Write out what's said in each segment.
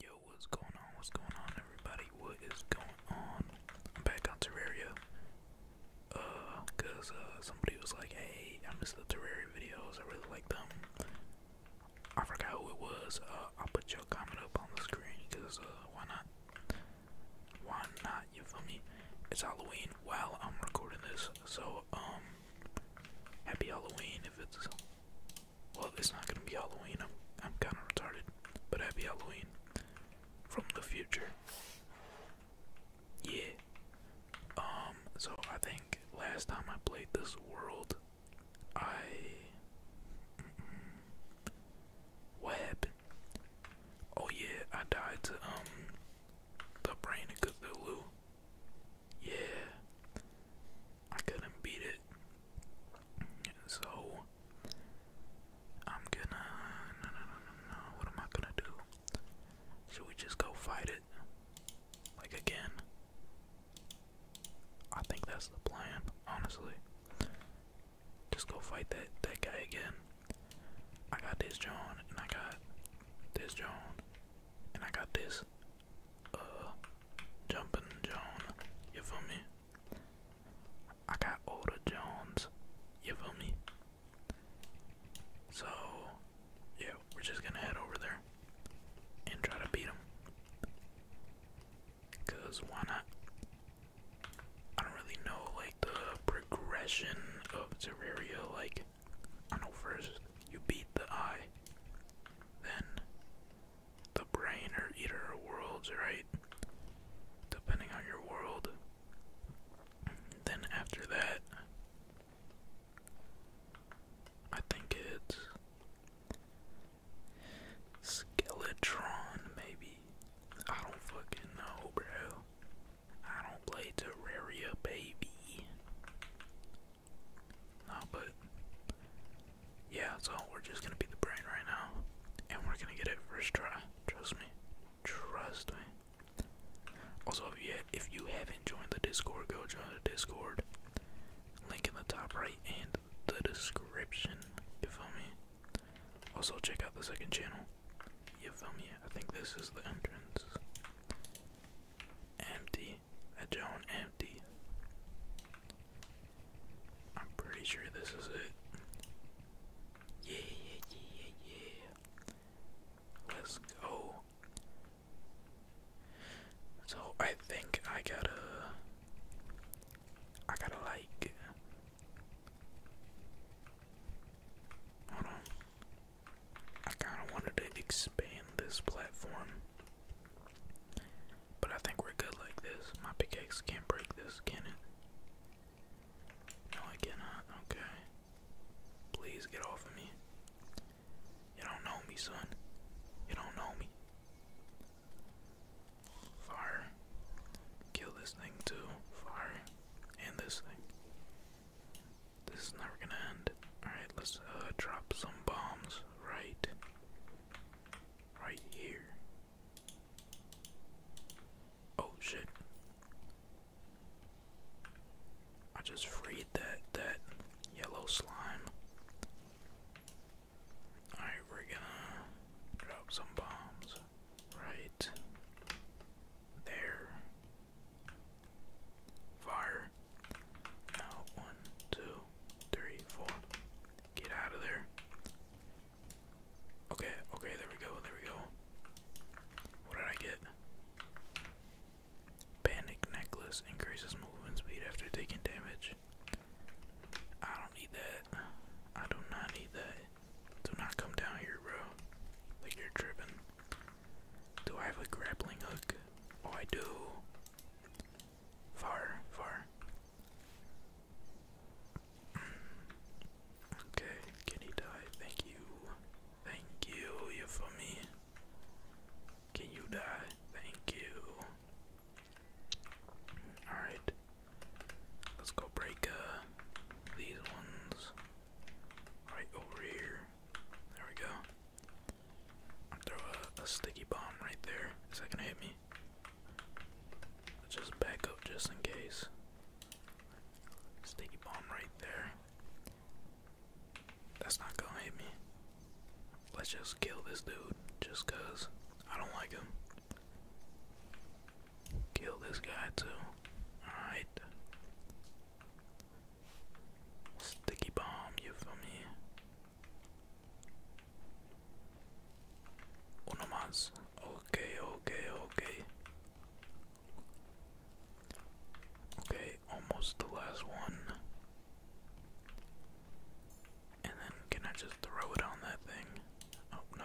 Yo, what's going on? What's going on, everybody? What is going on? I'm back on Terraria. Uh, cause uh, somebody was like, "Hey, I miss the Terraria videos. I really like them." I forgot who it was. Uh, I'll put your comment up on the screen. Cause uh, why not? Why not? You for me? It's Halloween while I'm recording this, so um, happy Halloween if it's well, it's not gonna be Halloween. I'm I'm kind of retarded, but happy Halloween from the future. Yeah. Um. So I think last time I played this world, I. What happened? Oh yeah, I died to um the brain of Cthulhu. Yeah. I couldn't beat it. So I'm gonna no no no no no what am I gonna do? Should we just go fight it? Like again? I think that's the plan, honestly. Just go fight that that guy again. I got this John and I got this John and I got this uh, Jumpin' John, you feel me? I got older Jones, you feel me? So, yeah, we're just gonna head over there and try to beat him. Cause why not? I don't really know like the progression of Terraria. Like, I know first you beat the eye, then the brain or eater worlds, right? Depending on your world. Then after that, I think it's Skeletron, maybe. I don't fucking know, bro. I don't play Terraria, baby. No, but yeah, so we're just gonna be the brain right now, and we're gonna get it first try. Trust me, trust me. Also, if yet if you haven't joined the Discord, go join the Discord. Link in the top right and the description. You feel me? Also, check out the second channel. You feel me? I think this is the entrance. Empty. A Joan empty. I'm pretty sure this is it. Yeah, yeah, yeah, yeah. Let's go. So I think I gotta, I gotta like. Hold on. I kind of wanted to expand this platform. But I think we're good like this. My pickaxe can't break this, can it? No, I cannot. Okay. Please get off of me. You don't know me, son. You don't know me. Fire. Kill this thing too. Fire. And this thing. This is never gonna end. Alright, let's uh, drop some bombs right right here. Oh shit. I just freed that that yellow slime. Alright, we're gonna drop some bombs right there. Fire. Now, one, two, three, four. Get out of there. Okay, okay, there we go, there we go. What did I get? Panic necklace increases movement speed after taking damage. I don't need that. I do not need that. Do not come down here, bro. Like you're tripping. Do I have a grappling hook? Oh, I do. Far, far. okay, can he die? Thank you. Thank you, you for me. Can you die? Thank you. Alright. Let's go break uh, these ones. Right over here. There we go. I'll throw a, sticky bomb right there. Is that gonna hit me? just back up just in case. Sticky bomb right there. That's not gonna hit me. Let's just kill this dude just cause I don't like him. Kill this guy too. Alright. Sticky bomb, you feel me? Uno más. Ok, ok, ok. Okay, almost the last one. And then can I just throw it on that thing? Oh, no.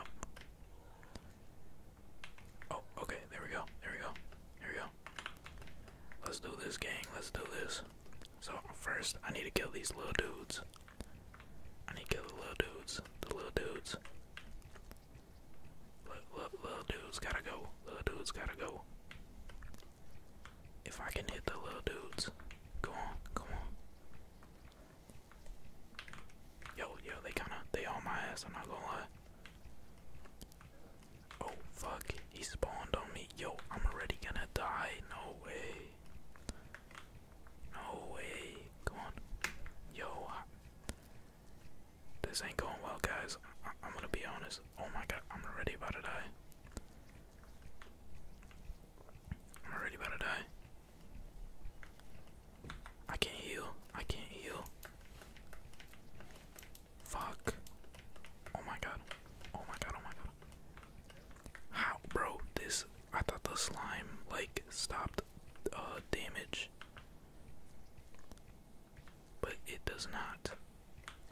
Oh, okay, there we go. There we go. Here we go. Let's do this, gang. Let's do this. So first, I need to kill these little dudes. I need to kill the little dudes. The little dudes. Little, dudes gotta go. Little dudes gotta go. If I can hit the little dudes, come on, come on. Yo, yo, they kinda, they on my ass, I'm not gonna lie. Oh fuck, he spawned on me. Yo, I'm already gonna die. No way. No way. Come on. Yo. This ain't going well, guys. I am gonna be honest. Oh my god, I'm already about to die. I'm already about to die. I can't heal. I can't heal. Fuck. Oh my god. Oh my god, oh my god. How bro, this I thought the slime like stopped uh damage. But it does not.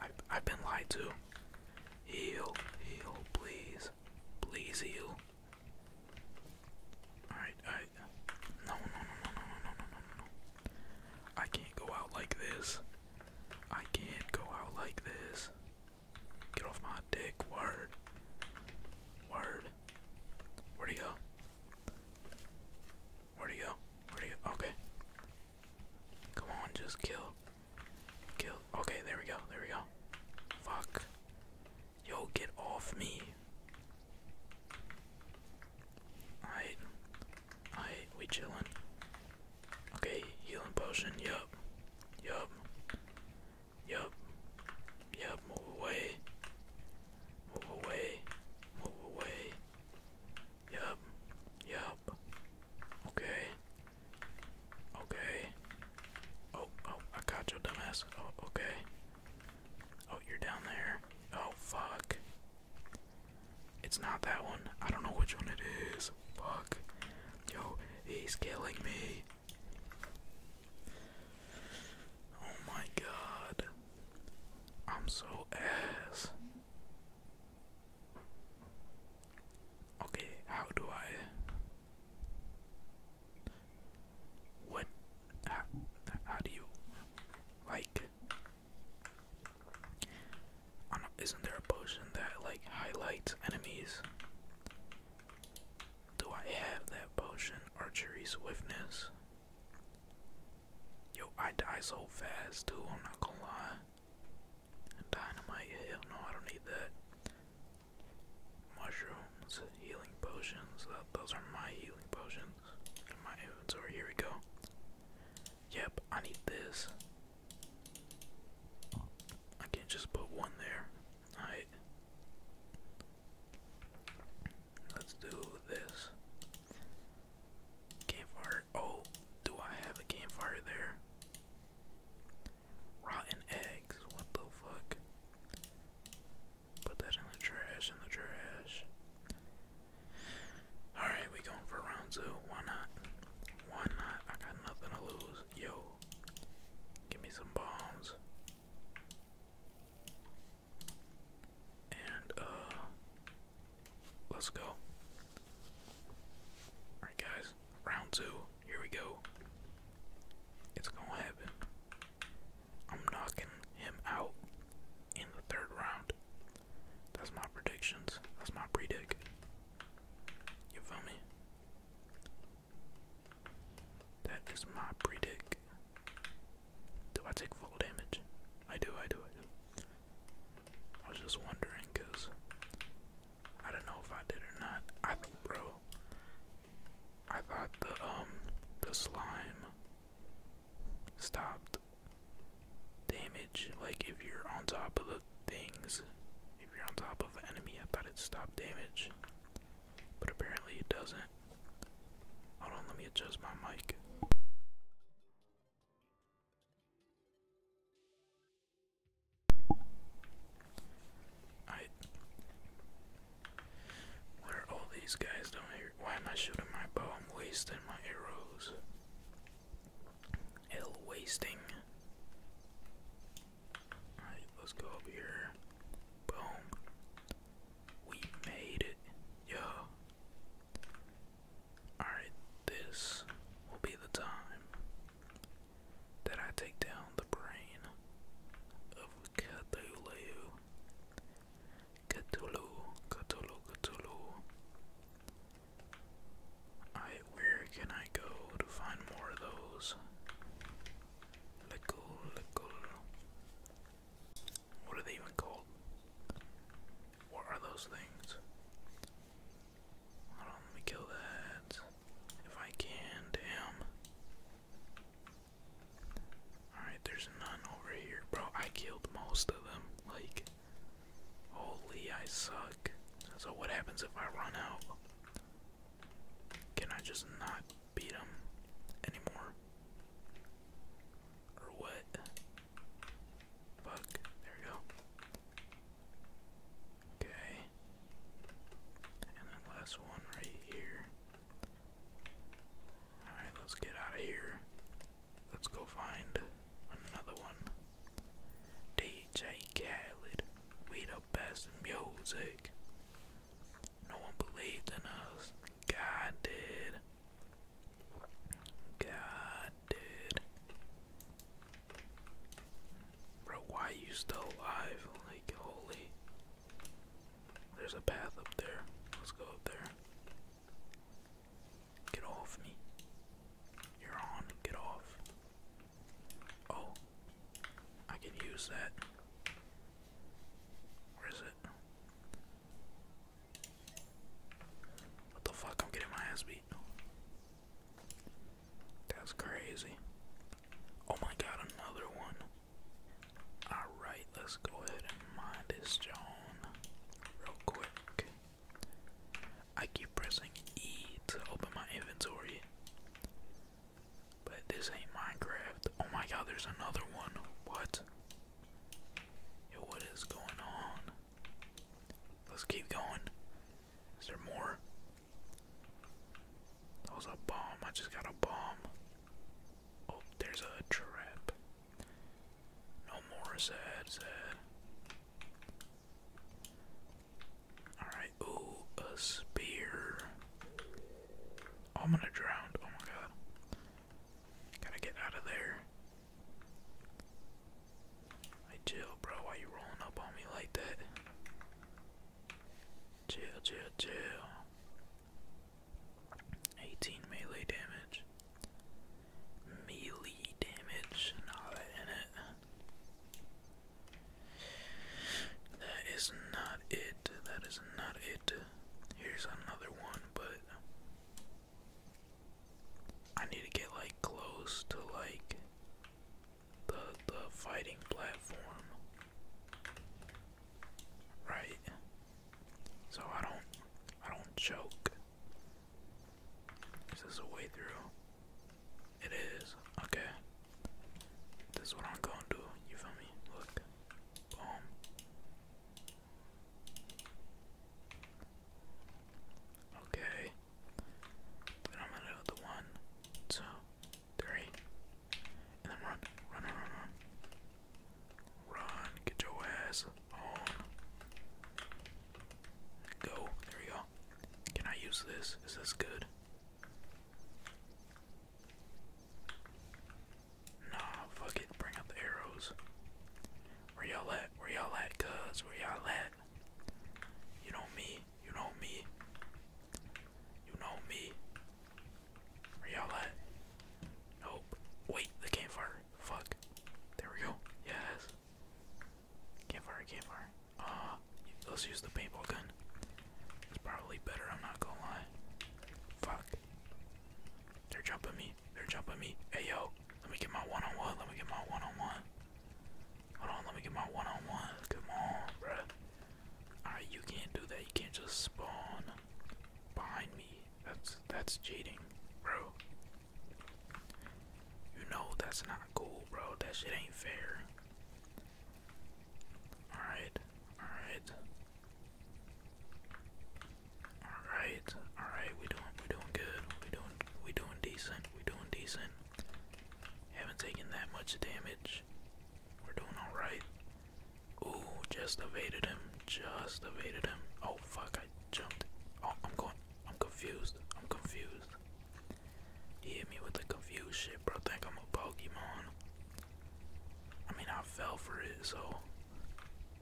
I I've been lied to. Heal, heal, please. Please heal. Alright, I no no no no no no no no no. I can't go out like this. I can't go out like this. Get off my dick. Word. Word. where do you go? where do you go? Where'd he Okay. Come on, just kill. Kill. Okay, there we go. There we go. Fuck. Yo, get off me. Alright. I we chillin. Okay, healing potion. Yup. Yup. Yup. Yup. Move away. Move away. Move away. Yup. Yup. Okay. Okay. Oh, oh, I got your dumbass. Oh, okay. Oh, you're down there. Oh, fuck. It's not that one. I don't know which one it is. Fuck. Yo, he's killing me. Oh my god. I'm so ass. Okay, how do I. What? How, how do you. Like isn't there a potion that like highlights enemies? Do I have that potion? Archery swiftness. Yo, I die so fast too, I'm not gonna lie. Dynamite, hell no, I don't need that. Mushrooms, healing potions, uh, those are my healing potions my inventory. Here we go. Yep, I need this. I can't just put one there. Alright. Let's do this. Campfire. Oh, do I have a campfire there? Rotten eggs. What the fuck? Put that in the trash, in the trash. Alright, we going for round two. Why not? Why not? I got nothing to lose. Yo. Give me some bombs. And uh let's go. Alright guys, round two. Here we go. It's gonna happen. I'm knocking him out in the third round. That's my predictions. That's my predic. You feel me? That is my predict. Do I take full damage? I do, I do, I was just wondering, cause I don't know if I did or not. I bro, I thought the um the slime stopped damage. Like if you're on top of the things, if you're on top of an enemy, I thought it stopped damage, but apparently it doesn't. Hold on, let me adjust my mic. I. What are all these guys Why am I shooting my bow? I'm wasting my arrows. Hell wasting. Alright, let's go up here. Boom. We made it. Yo. Alright, this will be the time that I take down the brain of Cthulhu. Cthulhu, Cthulhu, Cthulhu. Alright, where can I go to find more of those? Let go, let go. What are they even called? What are those things? let me kill that. If I can, damn. Alright, there's none over here. Bro, I killed most of them. Like, Holy, I suck. So what happens if I run out? Can I just not beat him anymore? Or what? Fuck, there we go. Okay. And then last one right here. Alright, let's get out of here. Let's go find another one. DJ Khaled, we the best in music. No one believed in us. God did. God did. Bro, why you still alive? Like, holy. There's a path up there. Let's go up there. Get off me. You're on. Get off. Oh. I can use that. Where is it? What the fuck? I'm getting my ass beat. That's crazy. Oh my god, another one. Alright, let's go ahead and mine this John real quick. I keep pressing E to open my inventory. But this ain't Minecraft. Oh my god, there's another one. What? Yo, what is going on? Let's keep going. Is there more? That was a bomb. I just got a bomb. Oh, there's a trap. No more sad, sad. Alright, ooh, a spear. Oh, I'm gonna drown. Oh my god. Gotta get out of there. Hey, chill, bro. Why you rolling up on me like that? Chill, chill, chill. 18 melee damage melee damage and in it. That is not it. That is not it. Here's another one, but I need to get like close to like the the fighting platform. Right. So I don't I don't choke. This Is a way through? It is. Okay. This is what I'm gonna do. You feel me? Look. Boom. Okay. Then I'm gonna do the one, two, three. And then run. Run, run, run, run. Run. Get your ass. Oh, Go. There we go. Can I use this? Is this good? Nah, fuck it. Bring out the arrows. Where y'all at? Where y'all at, cuz? Where y'all at? You know me. You know me. You know me. Where y'all at? Nope. Wait, the campfire. Fuck. There we go. Yes. Give her, give her. Ah, let's use the paintball gun. It's probably better, I'm not gonna lie. Fuck. They're jumping me. They're jumping me. Hey yo, let me get my one on one. Let me get my one on one. Hold on, let me get my one on one. Come on, bro. Alright, you can't do that. You can't just spawn behind me. That's that's cheating, bro. You know that's not cool, bro. That shit ain't fair. Alright, alright. Alright, alright, we doing we doing good. We doing we doing decent. We doing decent. Haven't taken that much damage. We're doing alright. Ooh, just evaded him. Just evaded him. Oh fuck, I jumped. Oh, I'm going I'm confused. I'm confused. hit me with the confused shit, bro. Think I'm a Pokemon. I mean, I fell for it, so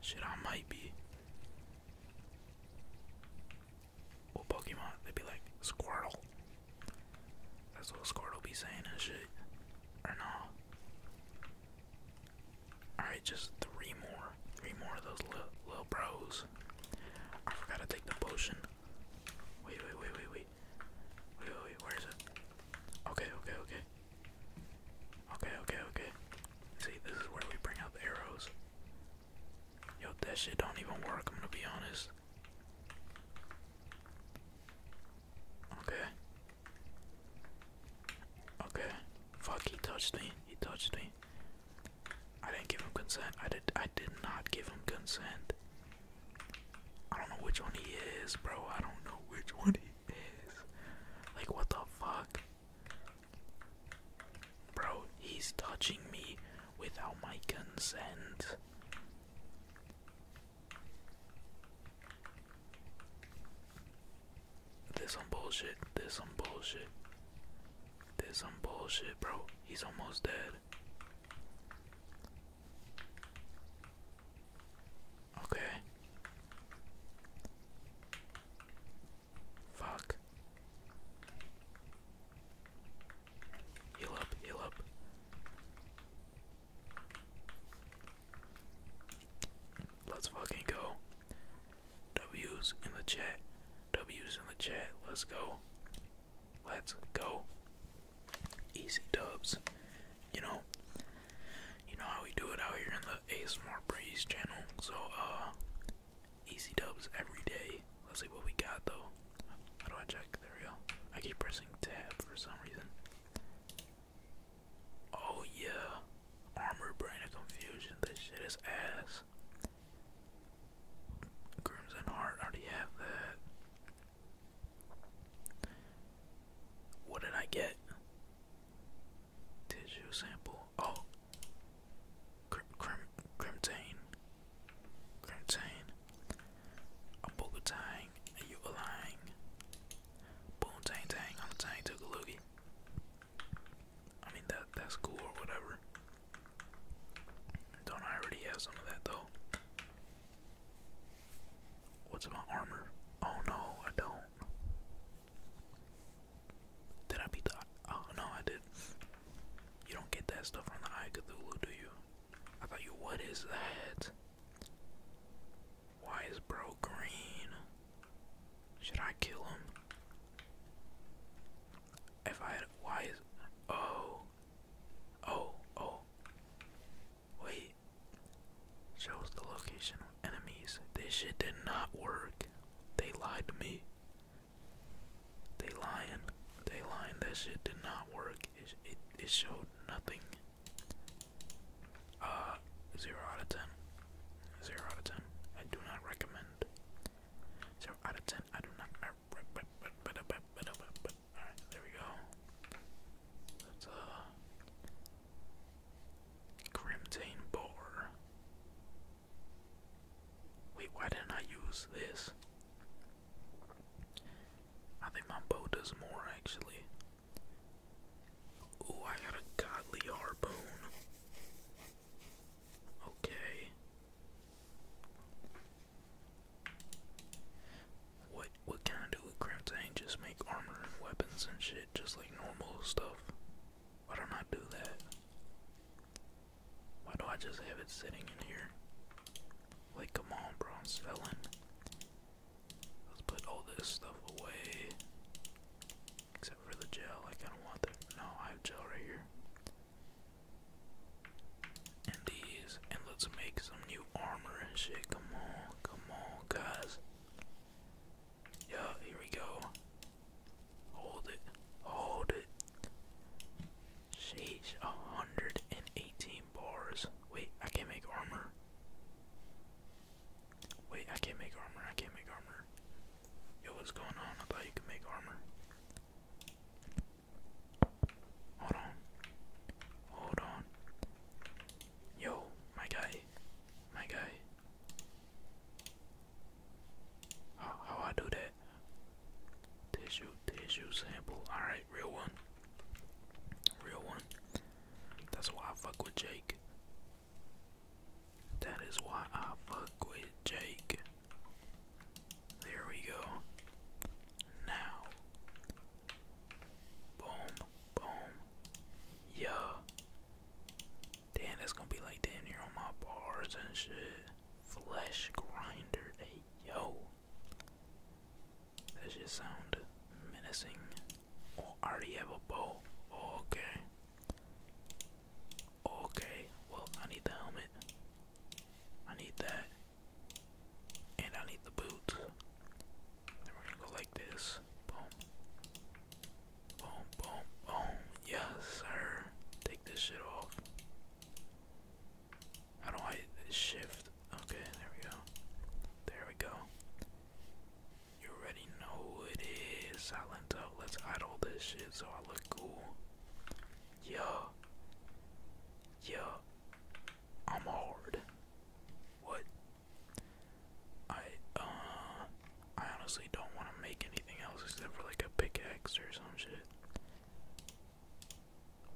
shit, I might be. What Pokemon? They'd be like Squirtle. That's what Squirtle be saying and shit. Or no? Alright, just three more. Three more of those little, little bros. I forgot to take the potion. Wait, wait, wait, wait, wait. Wait, wait, wait, where is it? Okay, okay, okay. Okay, okay, okay. See, this is where we bring out the arrows. Yo, that shit don't even work, I'm gonna be honest. Okay. Okay. Fuck, he touched me. He touched me. I didn't give him consent. I did. I did not give him consent. I don't know which one he is, bro. I don't know which one he is. Like, what the fuck, bro? He's touching me without my consent. This some bullshit. This some bullshit. This some bullshit, bro. He's almost dead. Okay. Fuck. Heal up, heal up. Let's fucking go. W's in the chat. W's in the chat. Let's go. Let's go. Easy dubs. You know, you know how we do it out here in the ASMR Breeze channel. So, uh, easy dubs every day. Let's see what we got though. How do I check? There we go. I keep pressing tab for some reason. Oh yeah, armor brain of confusion. This shit is ass. Grooms. and Heart already have that. What did I get? Tissue sample. Oh, Crim Crim Crimtane. Crimtane. A Bogatang, a Yugalang. Boom Tang Tang on the Tang Tugalugi. I mean that that's cool or whatever. Don't I already have some of that though? What's my armor? Oh no, I don't. Did I beat the? Oh no, I did. You don't get that stuff from the Eye Cthulhu, do you? I thought you. What is that? Why is bro green? Should I kill him? If I why is oh oh oh wait shows the location enemies. This shit did not work. They lied to me. They lying. They lying. That shit did not work. It it, showed nothing. Uh, zero out of ten. out of ten. I do not recommend recommend. out of ten. I do not. Alright, there we go. That's a uh, Crimtane Wait, why didn't I use this? I think my bow does more actually. Ooh, I got a godly harpoon. Okay. What what can I do with Just make armor and weapons and shit, just like normal stuff. Why don't I do that? Why do I just have it sitting in here? Like, a on, bro, i Let's put all this stuff away. Except for the gel, I don't want that. No, I have gel right here. And these, and let's make some new armor and shit. Come on, come on, guys. Yeah, here we go. Hold it, hold it. Sheesh, 118 bars. Wait, I can't make armor. Wait, I can't make armor. I can't make armor. Yo, what's going on? I thought you could make armor. Hold on. Hold on. Yo, my guy. My guy. How, I do that? Tissue, tissue sample. Alright, real one. Real one. That's why I fuck with Jake. That is why I fuck with Jake. There we go. Now. Boom, boom. Yeah. Damn, that's gonna be like damn near on my bars and shit. Flesh grinder. yo. That shit sound menacing. Oh, already have a bow. okay. Okay, well, I need the helmet. I need that. And I need the boots. Then we're gonna go like this. Boom. Boom, boom, boom. Yes, sir. Take this shit off. How do I shift? Okay, there we go. There we go. You already know who it is. Silent Let's idle this shit so I look cool. Yeah. Yeah. I'm hard. What? I uh I honestly don't want to make anything else except for like a pickaxe or some shit.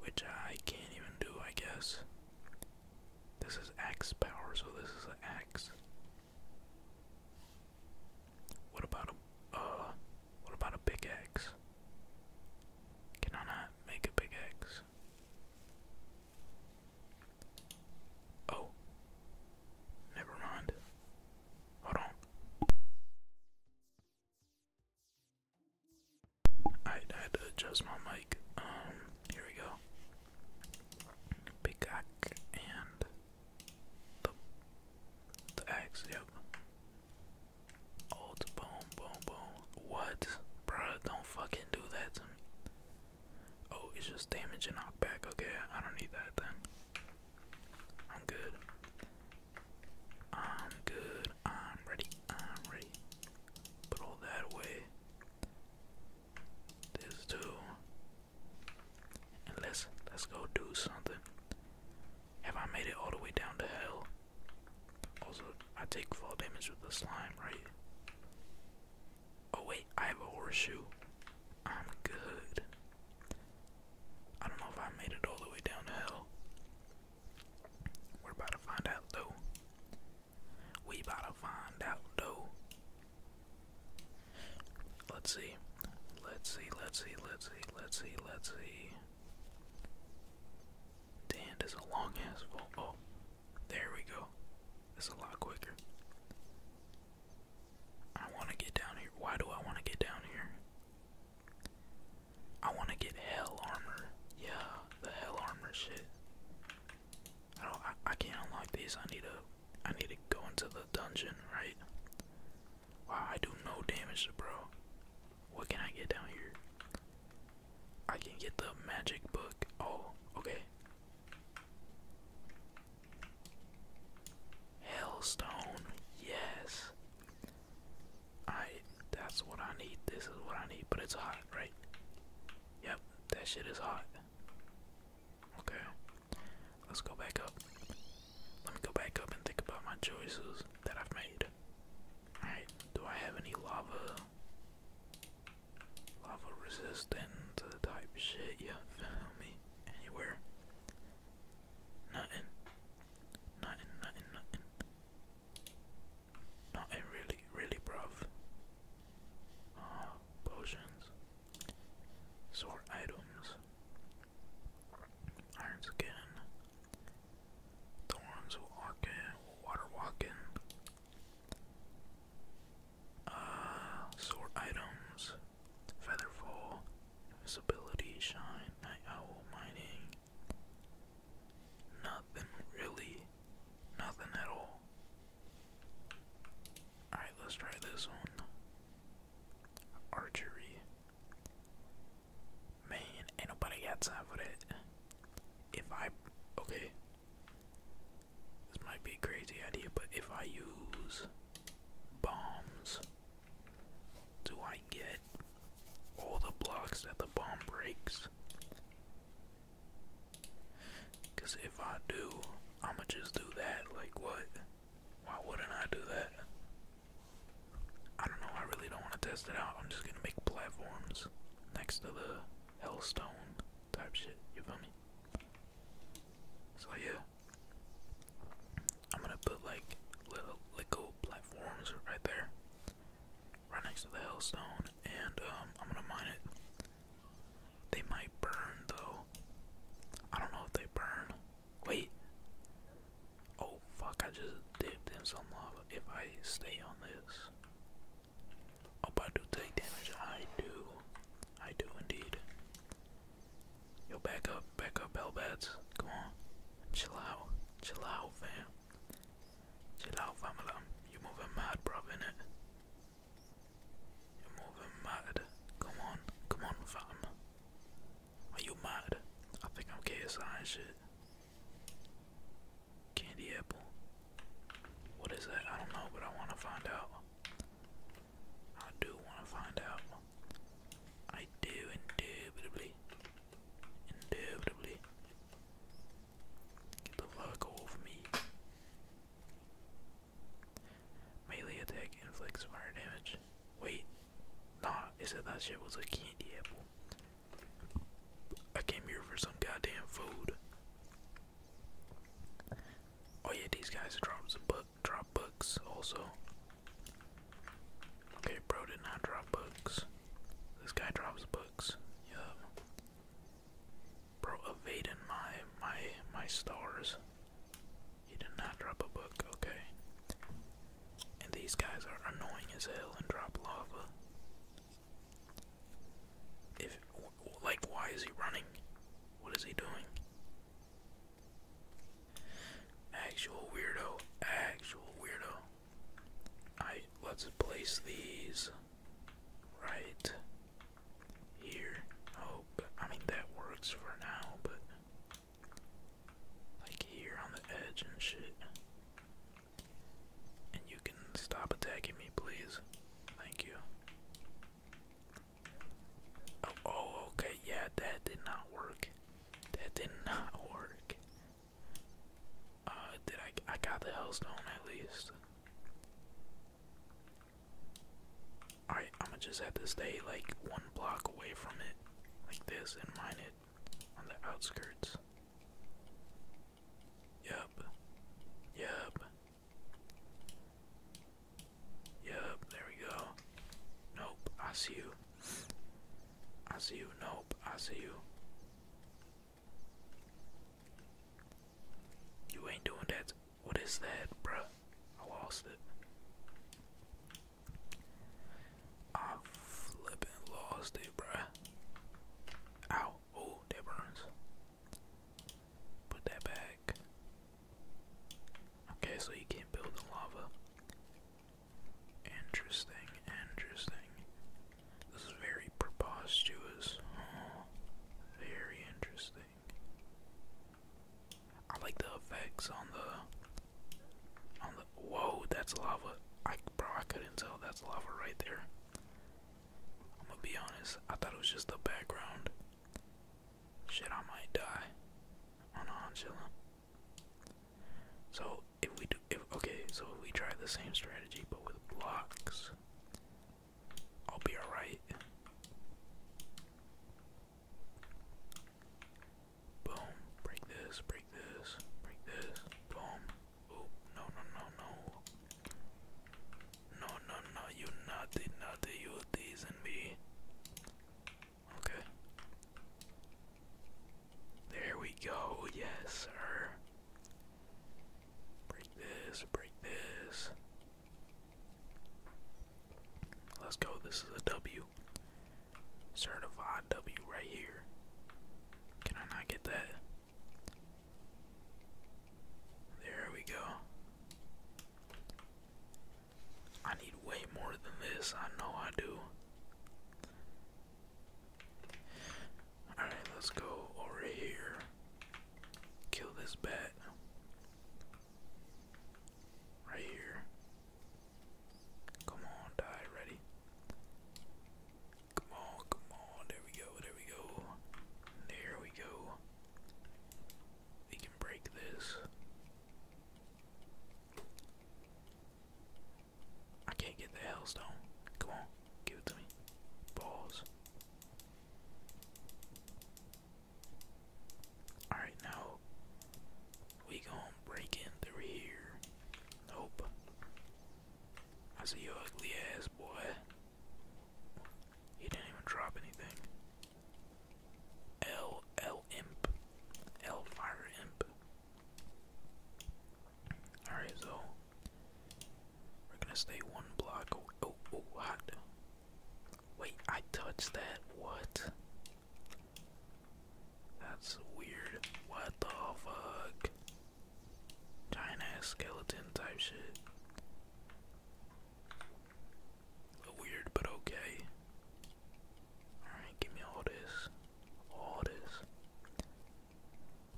Which I can't even do, I guess. This is X power, so this is an axe. What about a uh what about a big X? Can I make a big X? Oh. Never mind. Hold on. I had to adjust my mic. Um, here we go. Big X and the, the axe, yep. Old boom, boom, boom. What? Bruh, don't fucking do that to me. Oh, it's just damage and knockback. Okay, I don't need that then. I'm good. I'm good. I'm ready. I'm ready. Put all that away. This too. And let's let's go do something. Have I made it all the way down to hell? Also, I take fall damage with the slime, right? Oh wait, I have a horseshoe. I'm good. I don't know if I made it all the way down to hell. We're about to find out though. We about to find out though. Let's see. Let's see, let's see, let's see, let's see, let's see. Dan is a long ass Oh, there we go. It's a lot quicker. I want to get down here. Why do I want to get down here? I want to get hell armor. Yeah, the hell armor shit. I don't. I, can't unlock these. I need to I need to go into the dungeon, right? Wow, I do no damage bro. What can I get down here? I can get the magic book. Oh, okay. Hellstone, yes. I that's what I need. This is what I need, but it's hot, right? Yep, that shit is hot. Okay. Let's go back up. Let me go back up and think about my choices that I've made. Alright, do I have any lava? Lava resistant type shit, you me? Anywhere? Nothing. Nothing, nothing, nothing. Nothing really, really, bruv. Uh, potions. Sort items. Iron skin. Thorns will walk in, water walking. in. Uh, sort items. Featherfall. Visibility. shine, night owl, mining. Nothing really. Nothing at all. Alright, let's try this one. Archery. Man, ain't nobody time for that. If I. Okay. This might be a crazy idea, but if I use bombs, do I get all the blocks that the bomb breaks? Because if I do, I'ma just do that. Like what? Why wouldn't I do that? I don't know, I really don't want to test it out. I'm just gonna make platforms next to the hellstone type shit, you feel me? So yeah. I'm gonna put like little little platforms right there. Right next to the hellstone and um, I'm gonna mine it. They might burn though. I don't know if they burn. Wait. Oh fuck, I just dipped in some lava. If I stay on this. Oh, but I do take damage. I do. I do indeed. Yo, back up, back up, Hellbats. Come on. Chill out. Chill out, fam. Chill out, family. You moving mad, bruv, innit? You're more mad. Come on, come on, fam. Are you mad? I think I'm KSI Candy apple. What is that? I don't know, but I want to find out. I do want to find out. I do, indubitably. Indubitably. Get the fuck off me. Melee attack inflicts fire damage. Wait, nah, it said that shit was a candy apple. I came here for some goddamn food. Oh yeah, these guys drop some books. drop books also. Okay, bro did not drop books. This guy drops books. Yup. Bro, evading my my my stars. He did not drop a book, okay. And these guys are annoying as hell and drop lava. If like, why is he running? What is he doing? Actual weirdo. Actual weirdo. I let's place these right here. Oh, I mean that works for now, but like here on the edge and shit. And you can stop attacking me, please. Thank you. oh, oh okay, yeah, that did not work. That did not work. Uh, did I? I got the hellstone at least. Alright, I'm gonna just have to stay like one block away from it, like this, and mine it on the outskirts. Yup. Yup. Yup, there we go. Nope, I see you. I see you, nope, I see you. You ain't doing that what is that, bro? I lost it. I flipping lost it, bruh. Ow. Oh, that burns. Put that back. Okay, so you can't build in lava. Interesting, interesting. This is very preposterous. very interesting. I like the effects on the on the whoa, that's lava. bro, I couldn't tell that's lava right there. I'm gonna be honest, I thought it was just the background. Shit, I might die. On a So if we do, if okay, so if we try the same strategy but with blocks, I'll be alright. Boom. Break this, break this, break this. Boom. Oh, no, no, no, no. No, no, no, you naughty, naughty, you teasing me. Okay. There we go, yes, sir. Break this, break this. Let's go. This is a W. Certified W right here. Can I not get that? There we go. I need way more than this. I know I do. Alright, let's go over here. Kill this bat. Right here. Come on, die, ready? Come on, come on, there we go, there we go. There we go. We can break this. I can't get the hellstone. Come on, give it to me. Balls. Alright, now we gonna break in through here. Nope. I see your ugly ass, boy. He didn't even drop anything. L L Imp. L Fire Imp. Alright, so we're gonna stay one block. Oh, oh, hot. Wait, I touched that. What? That's weird. What the fuck? Giant skeleton type shit. Weird, but okay. Alright, give me all this. All this.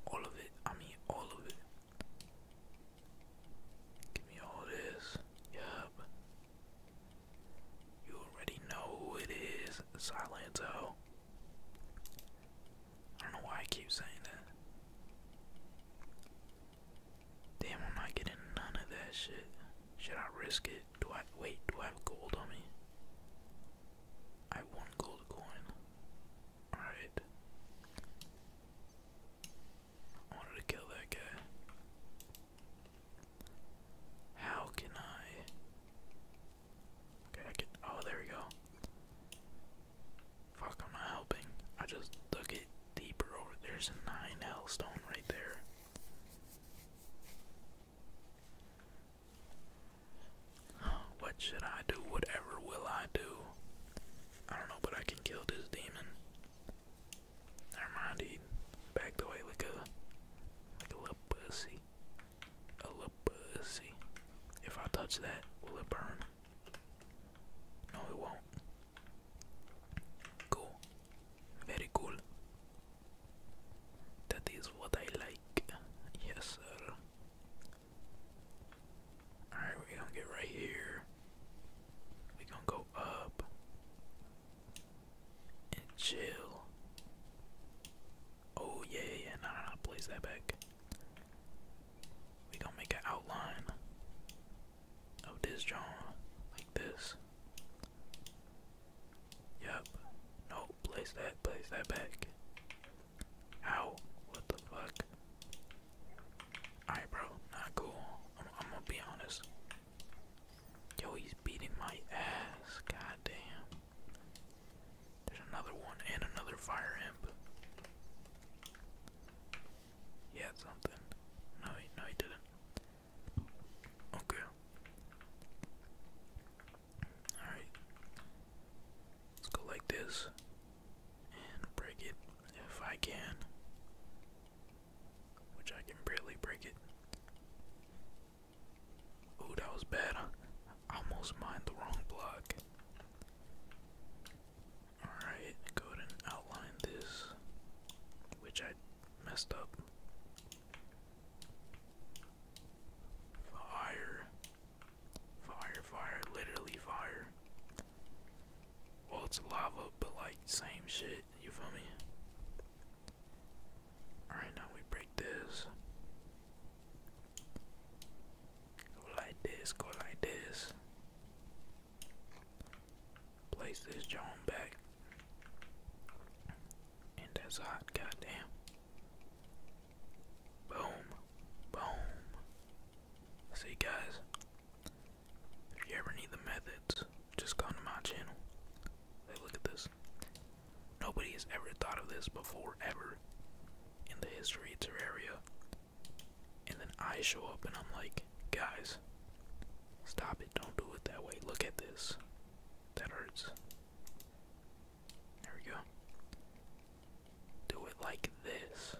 All of it. I mean, all of it. Give me all this. Yep. You already know who it is. Silento. I don't know why I keep saying that. Damn, I'm not getting none of that shit. Should I risk it? Do I wait? Do I have gold on me? I have one gold coin. Alright. I wanted to kill that guy. How can I? Okay, I can. Oh, there we go. Fuck, I'm not helping. I just dug it deeper over. There's a nine hellstone right there. What should I do? Whatever will I do? I don't know, but I can kill this demon. Never mind, he backed away like a like a little pussy. A little pussy. If I touch that, will it burn? No, it won't. Cool. Very cool. That is what I like. Yes, sir. Alright, we're gonna get right here. We're gonna go up and chill. Oh, yeah, yeah, no, no, no, place that back. We're gonna make an outline of this drawing like this. Yep. No, place that, place that back. Ow, what the fuck? Alright, bro, not cool. I'm, gonna be honest. Yo, he's beating my ass. God damn. There's another one and another fire imp. He something. No, no, he didn't. Okay. Alright. Let's go like this and break it if I can, which I can barely break it. Ooh, that was bad. I almost mined the wrong block. Alright, go ahead and outline this, which I messed up. Fire. Fire, fire, literally fire. Well, it's lava, but like same shit. You feel me? All right, now we break this. Go like this. Go like this. Place this John back. And that's hot, goddamn. Boom. Boom. See, guys, if you ever need the methods, just come to my channel. Hey, look at this. Nobody has ever thought of this before, ever, in the history of Terraria. And then I show up and I'm like, guys, stop it, don't do it that way. Look at this. That hurts. There we go do it like this.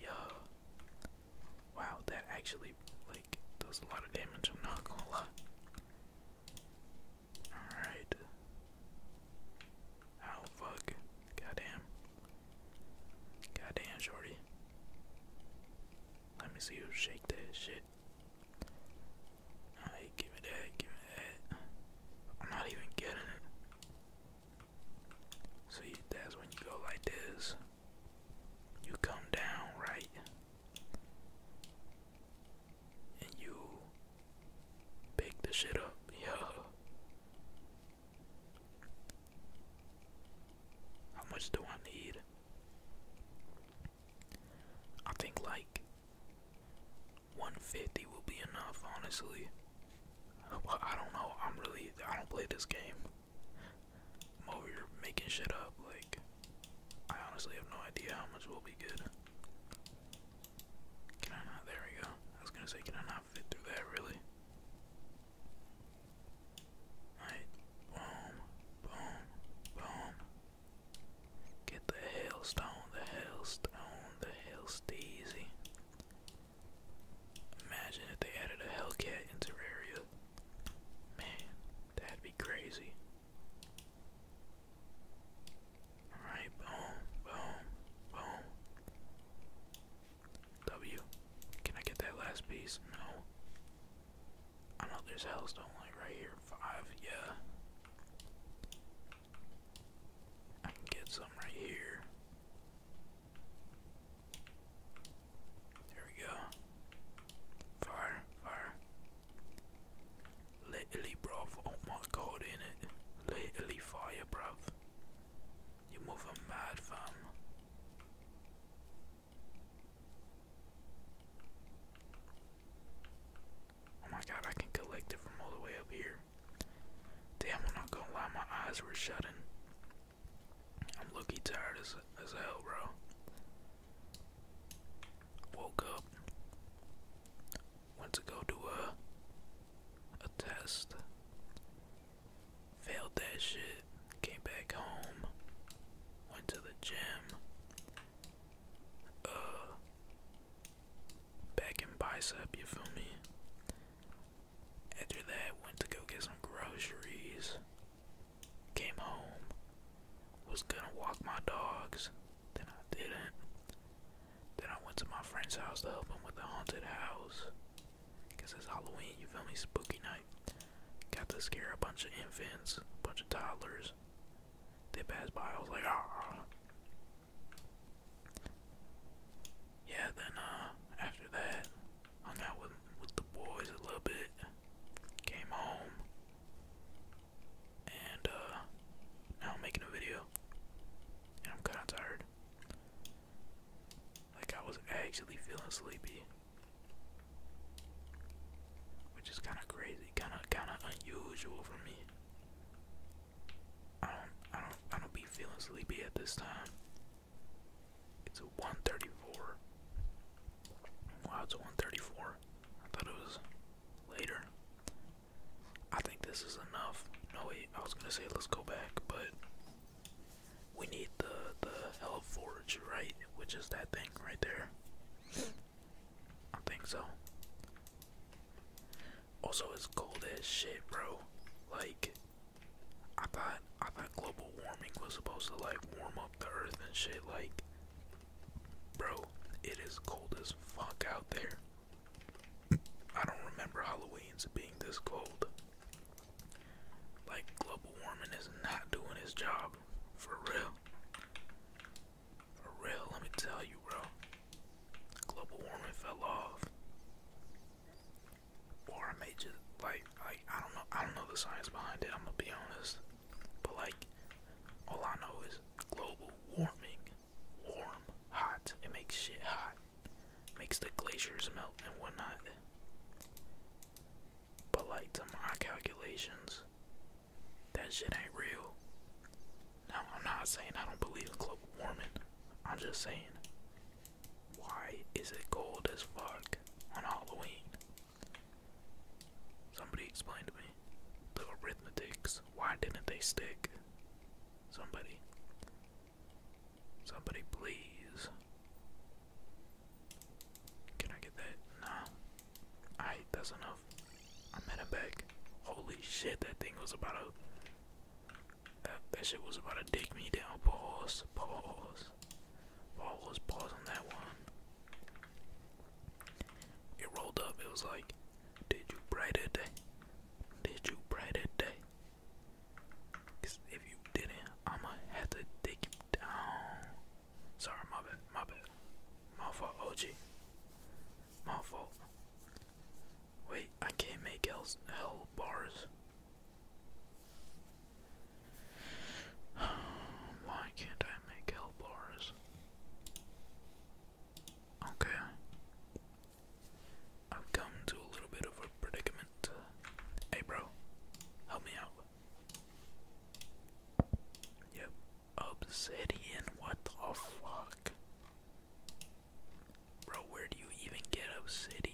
Yeah. Wow, that actually like does a lot of damage, I'm not gonna lie. Alright. Oh fuck. Goddamn. Goddamn shorty. Let me see you shake that shit. Alright, give me that, give me that. I'm not even getting it. See, that's when you go like this. You come down, right? And you pick the shit up. Yeah. How much do I need? I think like 150 will be enough, honestly. Well, I don't know. I'm really. I don't play this game. I'm making shit up. Like, I honestly have no idea how much will be good. Can I not? There we go. I was gonna say, can I not fit through that, really? Alright. Boom. Boom. Boom. Get the hailstone, the hailstone, the hailsteezy. Imagine if they added a Hellcat into area. Man, that'd be crazy. Alright, boom, boom, boom. W. Can I get that last piece? No. I know there's hellstone right here. Five, yeah. I can get some right here. There we go. Fire, fire. Literally, bruv. Oh my god, in it. Literally fire, bruv. You mother mad, fam. Oh my god, I can collect it from all the way up here. Damn, I'm not gonna lie, my eyes were shutting. I'm looking tired as, as hell, bro. Woke up, went to go do a, a test, failed that shit, came back home, went to the gym, uh, back in bicep, you feel me? After that, went to go get some groceries. Came home. Was gonna walk my dogs. Then I didn't. Then I went to my friend's house to help him with the haunted house. Because it's Halloween, you feel me? Spooky night. Got to scare a bunch of infants, a bunch of toddlers. They passed by, I was like, ah. ah, ah. Yeah, then uh, after that hung out with with the boys a little bit. Came home and uh, now I'm making a video. And I'm kinda tired. Like I was actually feeling sleepy. Which is kinda crazy, kinda kinda unusual for me. I don't, I don't, I don't be feeling sleepy at this time. It's a 134. Wow, it's 134. I thought it was later. I think this is enough. No wait, I was gonna say let's go back, but we need the the hell forge, right? Which is that thing right there. I think so. Also, it's cold as shit, bro. Like, I thought I thought global warming was supposed to like warm up the earth and shit. Like, bro, it is cold as fuck out there. I don't remember Halloween's being this cold. Like, global warming is not doing his job. For real. For real, let me tell you, bro global warming fell off, or I may just like like I don't know I don't know the science behind it. I'm gonna be honest, but like all I know is global warming, warm, hot. It makes shit hot, makes the glaciers melt and whatnot. But like to my calculations, that shit ain't real. Now I'm not saying I don't believe in global warming. I'm just saying why is it cold as fuck on Halloween? Somebody explain to me the arithmetics. Why didn't they stick? Somebody. Somebody, please. Can I get that? No. Alright, that's enough. I'm at a back. Holy shit, that thing was about to that, that shit was about to dig me down. Pause, pause, pause, pause on that one. It rolled up. It was like, did you brighter day? Did you brighter day? Cause if you didn't, I'ma have to dig you down. Sorry, my bad, my bad. My fault, OG. My fault. Wait, I can't make hell, hell bars. Why can't I make hell bars? Okay. I've come to a little bit of a predicament. Hey, bro, help me out. Yep, obsidian. What the fuck? Bro, where do you even get obsidian?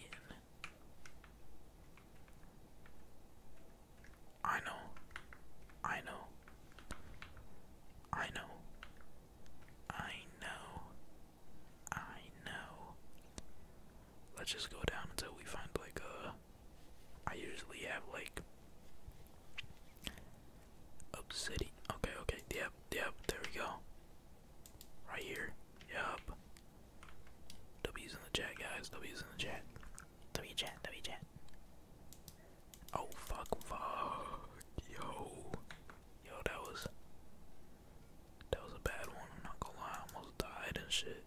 I know. I know. I know. I know. I know. Let's just go down until we find like a. Uh, I usually have like obsidian. Okay, okay. Yep, yep. There we go. Right here. Yup. W's in the chat, guys. W's in the chat. W chat, W chat. Oh, fuck, fuck. Yo. Yo, that was. That was a bad one. I'm not gonna lie. almost died and shit.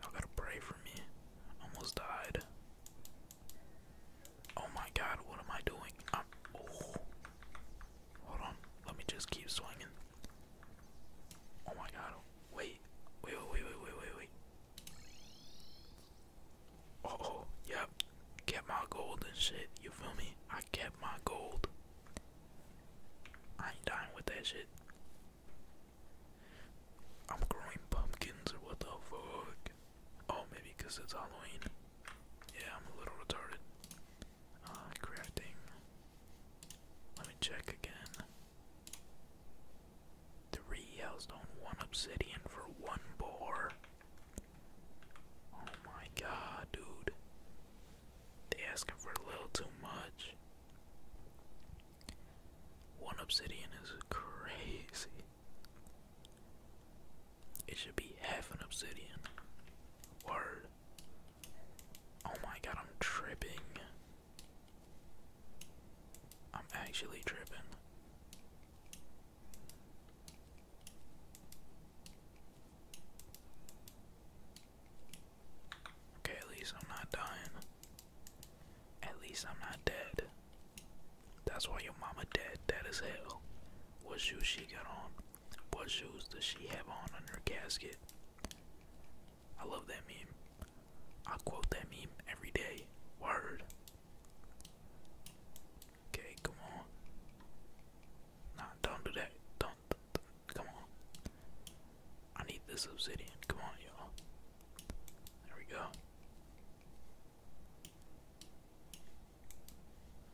Y'all gotta pray for me. Almost died. Oh my god, what am I doing? I'm, oh. Hold on, let me just keep swinging. Oh my god, wait, wait, wait, wait, wait, wait, wait. Uh oh, yep, get my gold and shit, you feel me? I kept my gold. I ain't dying with that shit. I'm growing pumpkins, what the fuck? Oh, maybe because it's Halloween. Yeah, I'm a little retarded. Uh, Let me check again. Three hellstone, one obsidian for one boar. Oh my god, dude. They asking for a little too much. One obsidian is crazy. It should be half an obsidian. Word. Oh my god, I'm tripping. I'm actually tripping. Okay, at least I'm not dying. At least I'm not dead. That's why your mama dead, dead as hell. What shoes she got on? What shoes does she have on on her casket? I love that meme. I quote that meme every day. Word. Okay, come on. Nah, don't do that. Don't, Come on. I need this obsidian. Come on, y'all. There we go.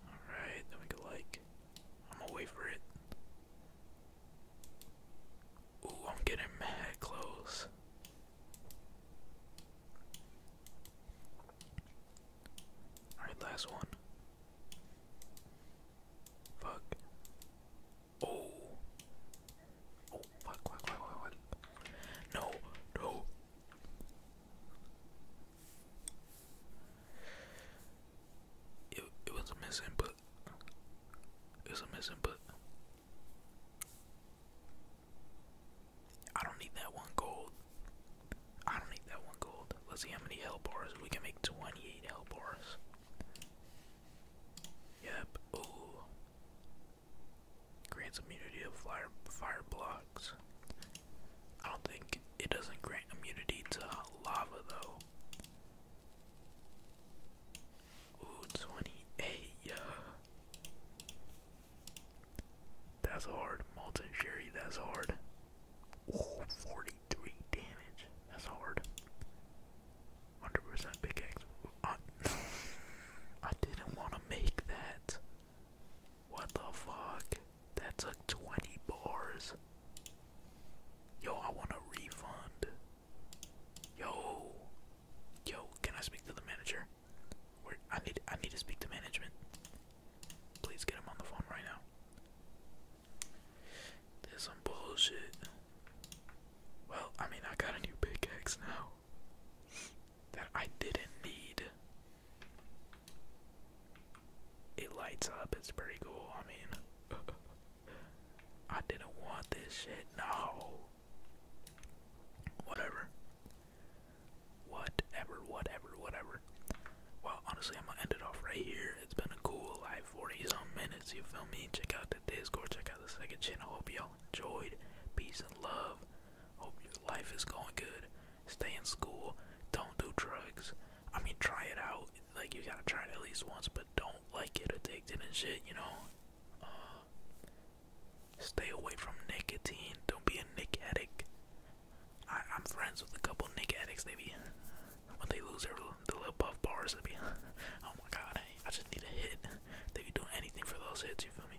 Alright, then we can like I'm gonna wait for it. Ooh, I'm getting mad close. Alright, last one. Fuck. Oh. Oh, fuck, fuck, fuck, fuck, fuck. No, no. It was a but It was a misinput. I don't need that one gold. I don't need that one gold. Let's see how many hell bars we can make. Twenty-eight hell bars. Yep. Ooh. Grants immunity to fire, fire blocks. I don't think it doesn't grant immunity to lava though. Ooh, 28, yeah. That's hard. Molten Sherry, that's hard. Ooh, 43 damage. That's hard. 100% big I, I didn't want to make that. What the fuck? That took 20 bars. Yo, I want a refund. Yo. Yo, can I speak to the manager? I need I need to speak to management. Please get him on the phone right now. There's some bullshit. Well, I mean I got a new pickaxe now that I didn't need. It lights up, it's pretty cool. I mean, I didn't want this shit, no. Whatever. Whatever, whatever, whatever. Well, honestly, I'm gonna end it off right here. It's been a cool like 40 some minutes, you feel me? Check out the Discord, check out the second channel. Hope y'all enjoyed. Peace and love. Hope life is going good. Stay in school. Don't do drugs. I mean, try it out. Like, you gotta try it at least once, but don't, like, get addicted and shit, you know? Uh, stay away from nicotine. Don't be a nicotine. I, am friends with a couple nicotine addicts, they be. When they lose their, little buff bars, they be. oh my god, I, I just need a hit. They be doing anything for those hits, you feel me?